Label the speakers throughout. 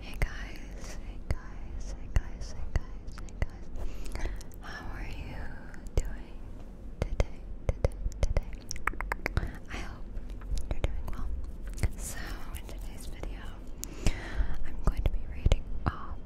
Speaker 1: Hey guys, hey guys, hey guys, hey guys, hey guys. How are you doing today, today, today? I hope you're doing well. So, in today's video, I'm going to be reading off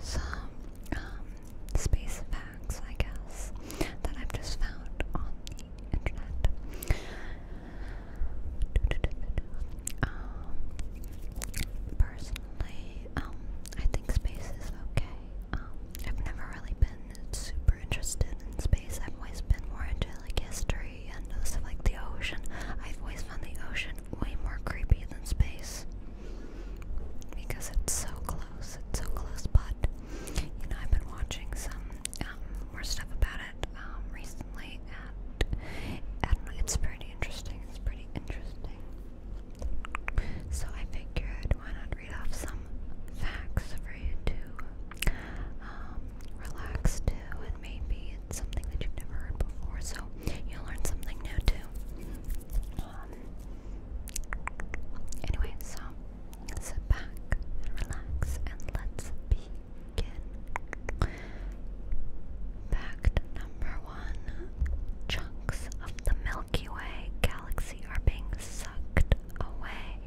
Speaker 1: some um, space facts, I guess, that I've just found on the internet. Um, personally, um, I think space is okay. Um, I've never really been super interested in space. I've always been more into like history and stuff like the ocean. I've always found the ocean way more creepy than space because it's so close. It's so close, but you know, I've been watching some more stuff about it. Um, recently, and it's pretty interesting. It's pretty interesting. So I figured, why not read off some facts for you to um, relax to, and maybe it's something that you've never heard before, so you learn something new too. Um, anyway, so Sit back and relax and let's begin. Fact number one chunks of the Milky Way galaxy are being sucked away.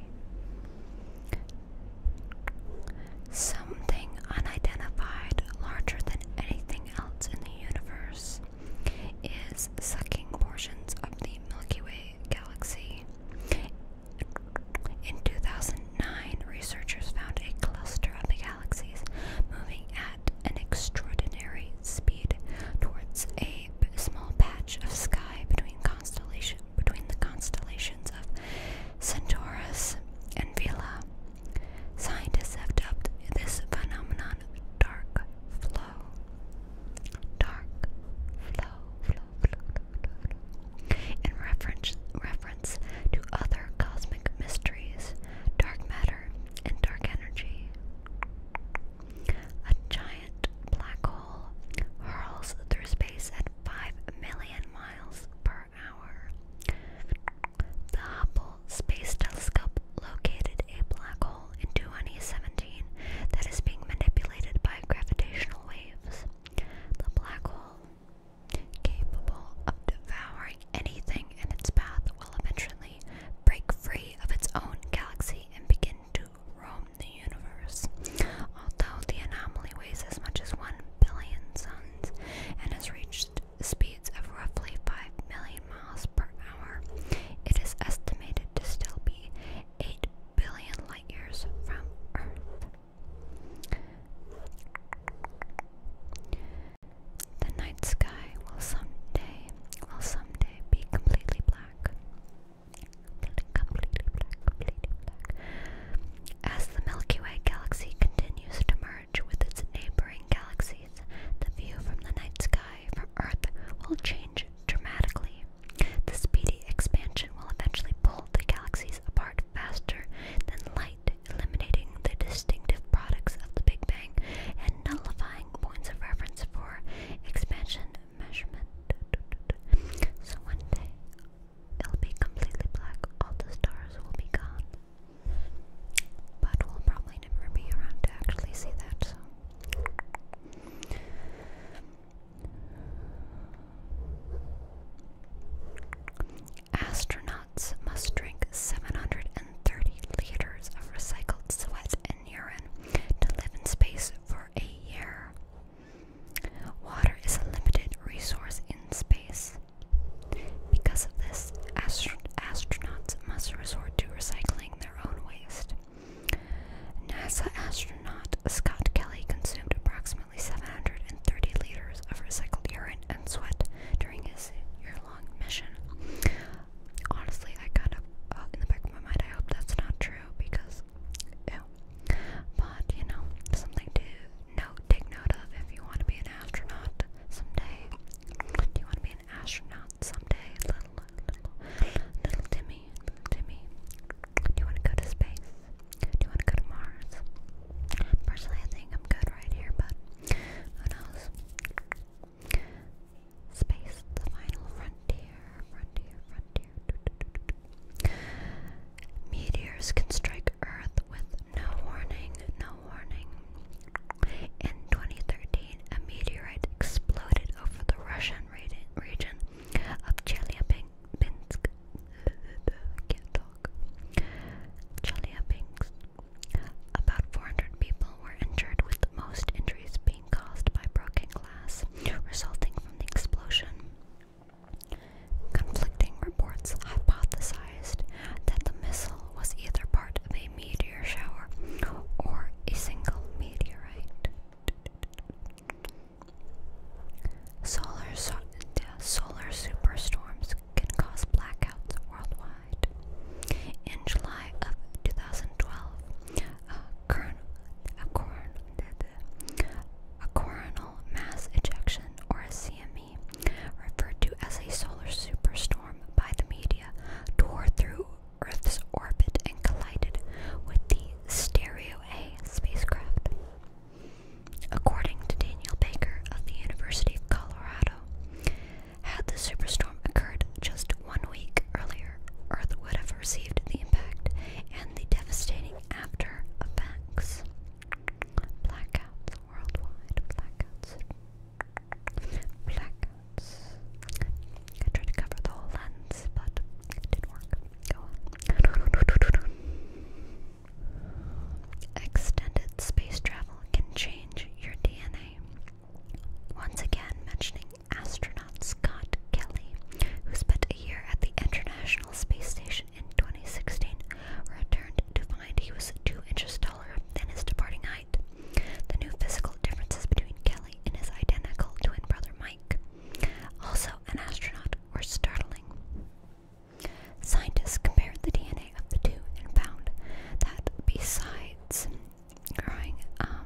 Speaker 1: Something unidentified, larger than anything else in the universe, is sucking portions of the Milky Way galaxy in 2009, researchers found a cluster of galaxies moving at an extraordinary speed towards a small patch of sky between constellation between the constellations of Centaurus and Vela. Scientists have dubbed this phenomenon dark flow. Dark flow, in reference, reference to other cosmic mysteries, dark matter, and dark energy. A giant black hole hurls through space at 5 million miles per hour. The Hubble Space Telescope located a black hole in 2017 that is being manipulated by gravitational waves. The black hole, capable of devouring anything in its path, will eventually break free of its own galaxy and begin to roam the universe. Although the anomaly weighs as much as 1 billion suns and has reached speeds of roughly 5 million miles per hour, it is estimated to still be 8 billion light years from Earth. The night sky will someday will someday be completely black. Completely completely black. As the Milky Way galaxy continues to merge with its neighboring galaxies, the view from the night sky from Earth will change dramatically. The speedy expansion will eventually pull the galaxies apart faster than light, eliminating the distinctive products of the Big Bang and nullifying points of reference for expansion measurement. So one day it'll be completely black, all the stars will be gone. But we'll probably never be around to actually see that, Astronauts must drink 730 liters of recycled sweat and urine to live in space for a year. Water is a limited resource in space. Because of this, astronauts must resort to recycling their own waste. NASA astronaut Scott Kelly consumed approximately 730 liters of recycled urine and sweat during his year-long mission. Honestly, I kind of, uh, in the back of my mind, I hope that's not true because, ew. But, you know, something to note, take note of if you want to be an astronaut someday. Do you want to be an astronaut someday? Little, little, little Timmy Timmy, do you want to go to space? Do you want to go to Mars? Personally, I think I'm good right here, but who knows? Space, the final frontier, frontier, frontier. Meteors can strike Earth with no warning, no warning. In 2013, a meteorite exploded over the Russian region of Chelyabinsk. can't talk. Chelyabinsk. About 400 people were injured, with most injuries being caused by broken glass resulting from the explosion. Conflicting reports hypothesized that the missile was either part of a meteor shower or a single meteorite. Solar, solar superstorms can cause blackouts worldwide. In July of 2012, a coronal mass ejection, or a CME, referred to as a solar superstorm by the media, tore through Earth's orbit and collided with the Stereo A spacecraft. According to Daniel Baker of the University of Colorado, had the superstorm occurred just one week earlier, Earth would have received the impact and the devastating after effects. Blackouts worldwide, blackouts, blackouts lens. I tried to cover the whole lens, but it didn't work. Go on. Extended space travel can change your DNA. Once again, mentioning astronaut Scott Kelly, who spent a year at the International Space Station in 2016, returned to find he was two inches taller than his departing height. The new physical differences between Kelly and his identical twin brother Mike, also an astronaut, were startling. Scientists compared the DNA of the two and found that besides growing, um,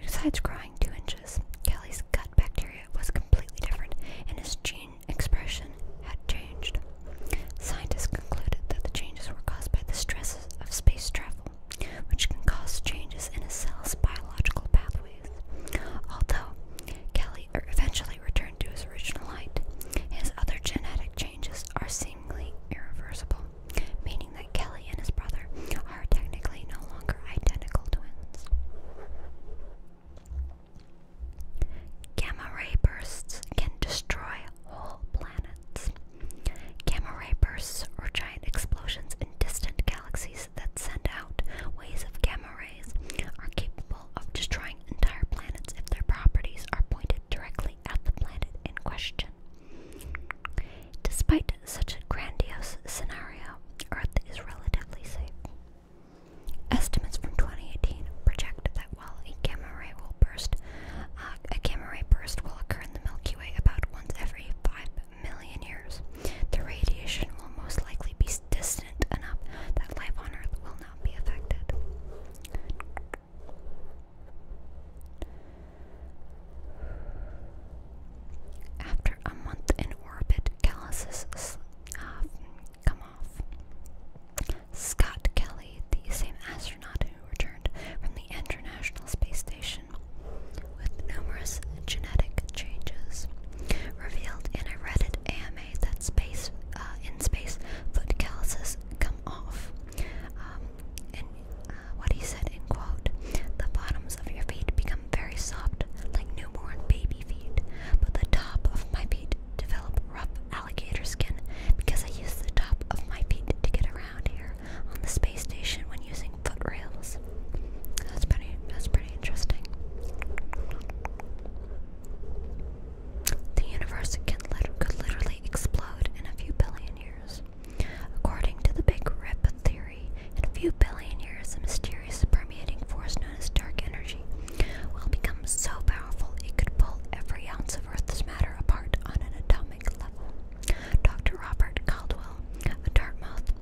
Speaker 1: besides growing two inches, Kelly's gut bacteria was completely different, and his gene expression had changed. Scientists concluded that the changes were caused by the stresses of space travel which can cause changes in a cell's biological pathways. Although Kelly eventually returned to his original height, his other genetic changes are seemingly irreversible, meaning that Kelly and his brother are technically no longer identical twins. Gamma ray bursts can destroy whole planets. Gamma ray bursts or giant explosions in distant galaxies that send out waves of gamma rays, are capable of destroying entire planets if their properties are pointed directly at the planet in question. Despite such a grandiose scenario, Earth is relatively safe. Estimates from 2018 project that while a gamma ray will burst uh, a gamma ray burst will occur in the Milky Way about once every 5 million years. The radiation will most likely be distant enough that life on Earth will not be affected. After a month in orbit, calluses uh, come off. Scott Kelly, the same astronaut who returned from the International Space Station, with numerous genetic changes. Revealed in a Reddit AMA that space uh, in space foot calluses come off. Um, and uh, what he said in quote, the bottoms of your feet become very soft, like newborn baby feet, but the top of my feet develop rough alligator skin because I use the top of my feet to get around here on the space station when using footrails. That's pretty. That's pretty interesting. The universe can could literally explode in a few billion years. According to the Big Rip theory, in a few billion years, the mysterious permeating force known as dark energy will become so powerful it could pull every ounce of Earth's matter apart on an atomic level. Dr. Robert Caldwell, a Dartmouth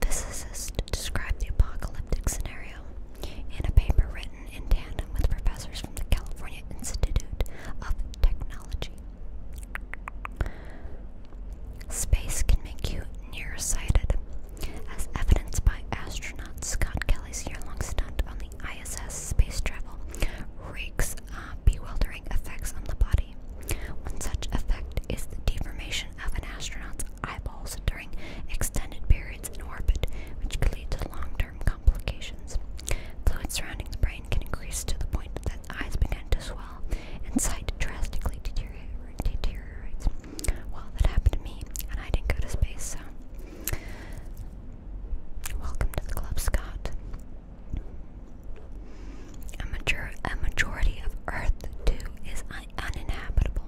Speaker 1: physicist, described the apocalyptic scenario in a paper written in tandem with professors from the California Institute of Technology. Space can make you nearsighted, as evidenced by astronaut Scott Kelly's year long stunt on the ISS space travel reeks has uh, bewildering effects on the body. One such effect is the deformation of an astronaut's eyeballs during extended periods in orbit, which could lead to long term complications. Fluid surrounding the brain can increase to the point that eyes begin to swell and sight drastically deteriorates. Well, that happened to me, and I didn't go to space, so. Welcome to the club, Scott. A, majority of Earth, too, is uninhabitable.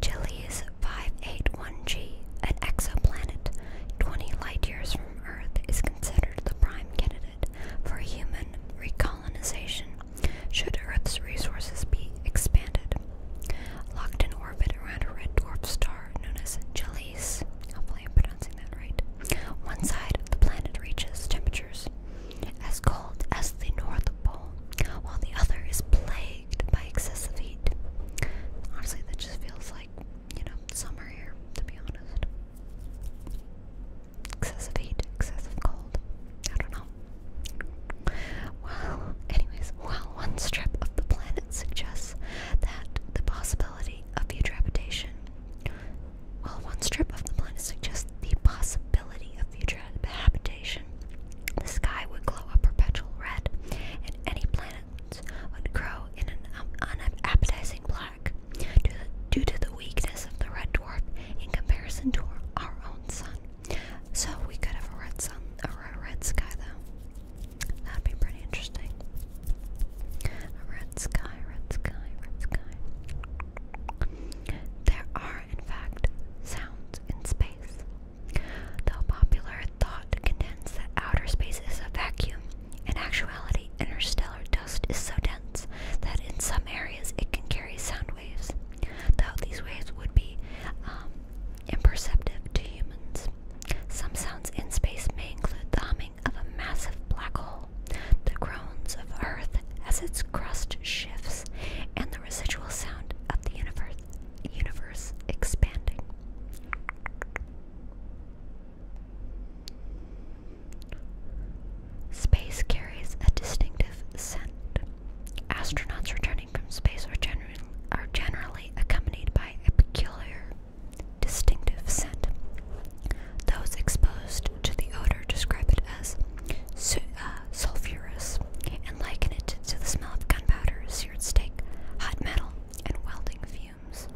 Speaker 1: Chile's 581G, an exoplanet 20 light years from Earth, is considered the prime candidate for human recolonization should Earth's resources be expanded. Locked in orbit around a red dwarf star known as Chiles Hopefully, I'm pronouncing that right. One side of the planet reaches temperatures as cold as the North Pole, while the other is plagued by excessive heat. Honestly, that just feels like, you know, summer here, to be honest. Excessive heat, excessive cold. I don't know. Well, anyways, while one strip of the planet suggests that the possibility of future habitation. Well, one strip of the planet suggests the possibility of future habitation. The sky would glow a perpetual red, and any planets would grow in an um, unappetizing black due, to the weakness of the red dwarf in comparison to our, our own sun. So we could have a red sun or a red sky, though. That'd be pretty interesting. A red sky, red sky, red sky. There are, in fact, sounds in space. Though popular thought contends that outer space is a vacuum, in actuality, interstellar dust is so dense that in some areas it can carry sound waves. Though these waves would be um, imperceptive to humans. Some sounds in space may include the humming of a massive black hole, the groans of Earth as its crust shifts, and the residual sound of the universe, expanding. Space carries a distinctive scent. Astronauts returning from space are, generally are generally accompanied by a peculiar, distinctive scent. Those exposed to the odor describe it as uh, sulfurous and liken it to the smell of gunpowder, seared steak, hot metal, and welding fumes.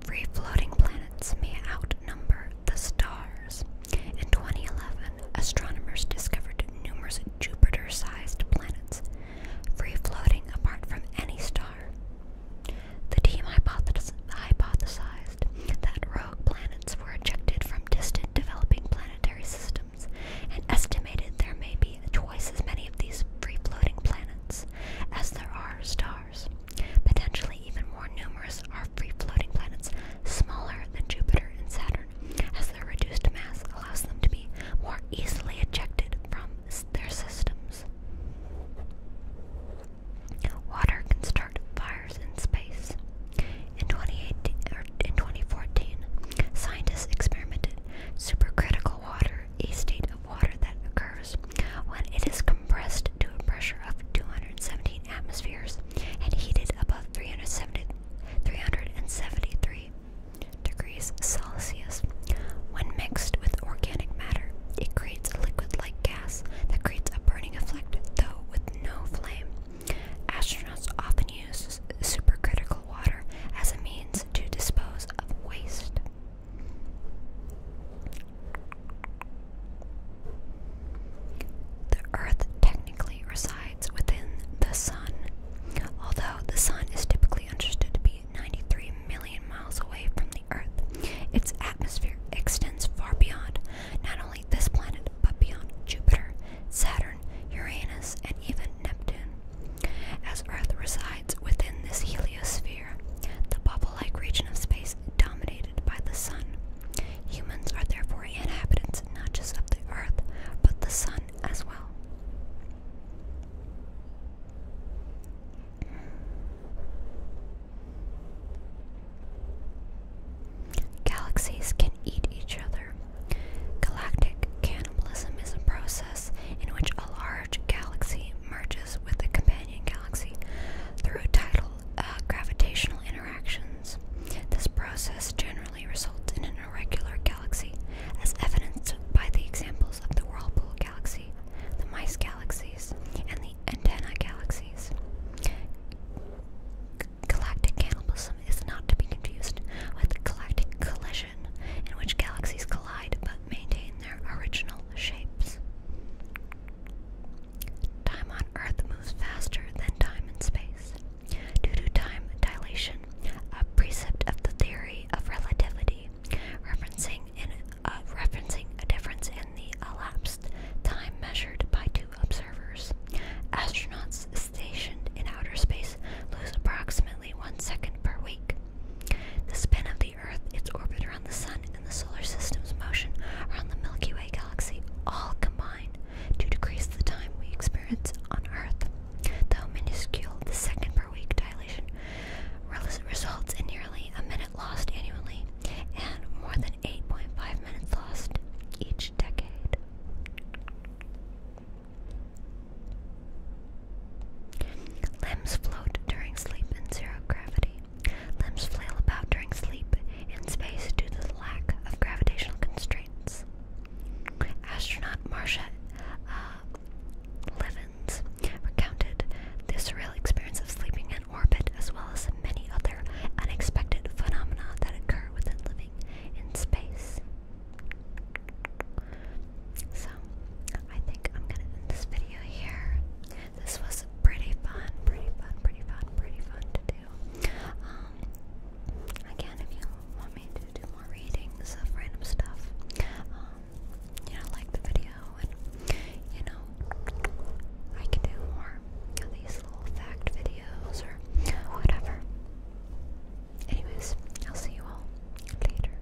Speaker 1: Free floating planets may outnumber the stars. In 2011, astronomers discovered numerous Jupiter sized planets, free floating apart from any star. The team hypothesized that rogue planets were ejected from distant developing planetary systems and estimated there may be twice as many of these free floating planets as there are stars. Potentially even more numerous are free-floating planets smaller than Jupiter and Saturn, as their reduced mass allows them to be more easily ejected from their systems. Water can start fires in space. in 2014, scientists experimented supercritical water, a state of water that occurs when it is compressed to a pressure of 217 atmospheres and heated above 373 degrees Celsius. When mixed with organic matter, it creates a liquid like gas that creates a burning effect, though with no flame. Astronauts often use supercritical water as a means to dispose of waste. The Earth technically resides within the Sun, although the Sun is typically understood to be 93 million miles away from the Earth. Its atmosphere extends far beyond not only this planet but beyond Jupiter, Saturn, Uranus, and even Neptune. As Earth resides within this heliosphere, the bubble like region of space dominated by the sun. Humans are therefore inhabitants not just of the earth, but the sun as well. Galaxies can eat each other. Galactic cannibalism is a process in which a large galaxy merges with the companion galaxy through tidal uh, gravitational interactions. This process generally results in an irregular galaxy, as evidenced by the examples of the Whirlpool galaxy, the Mice galaxies, and the Antenna galaxies. Galactic cannibalism is not to be confused with galactic collision, in which galaxies collide maintain their original shapes. Time on Earth moves faster than time in space. Due to time dilation, a precept of the theory of relativity, referencing, in, uh, referencing a difference in the elapsed time measured by two observers, astronauts stationed in outer space lose approximately one second per week. The spin of the the Earth, its orbit around the Sun, and the solar system's motion around the Milky Way galaxy all combine to decrease the time we experience on Earth. Though minuscule, the second per week dilation results in nearly a minute lost annually and more than 8.5 minutes lost each decade. Limbs float during sleep in zero gravity. Limbs flail about during sleep in space due to the lack of gravitational constraints. Astronaut Marsha uh, recounted this surreal experience of sleeping in orbit as well as many other unexpected phenomena that occur within living in space. So, I think I'm gonna end this video here. This was pretty fun, pretty fun, pretty fun, pretty fun to do. Um, again, if you want me to do more readings of random stuff, um, you know, like the video, and you know, I can do more of these little fact videos or whatever. Anyways, I'll see you all later.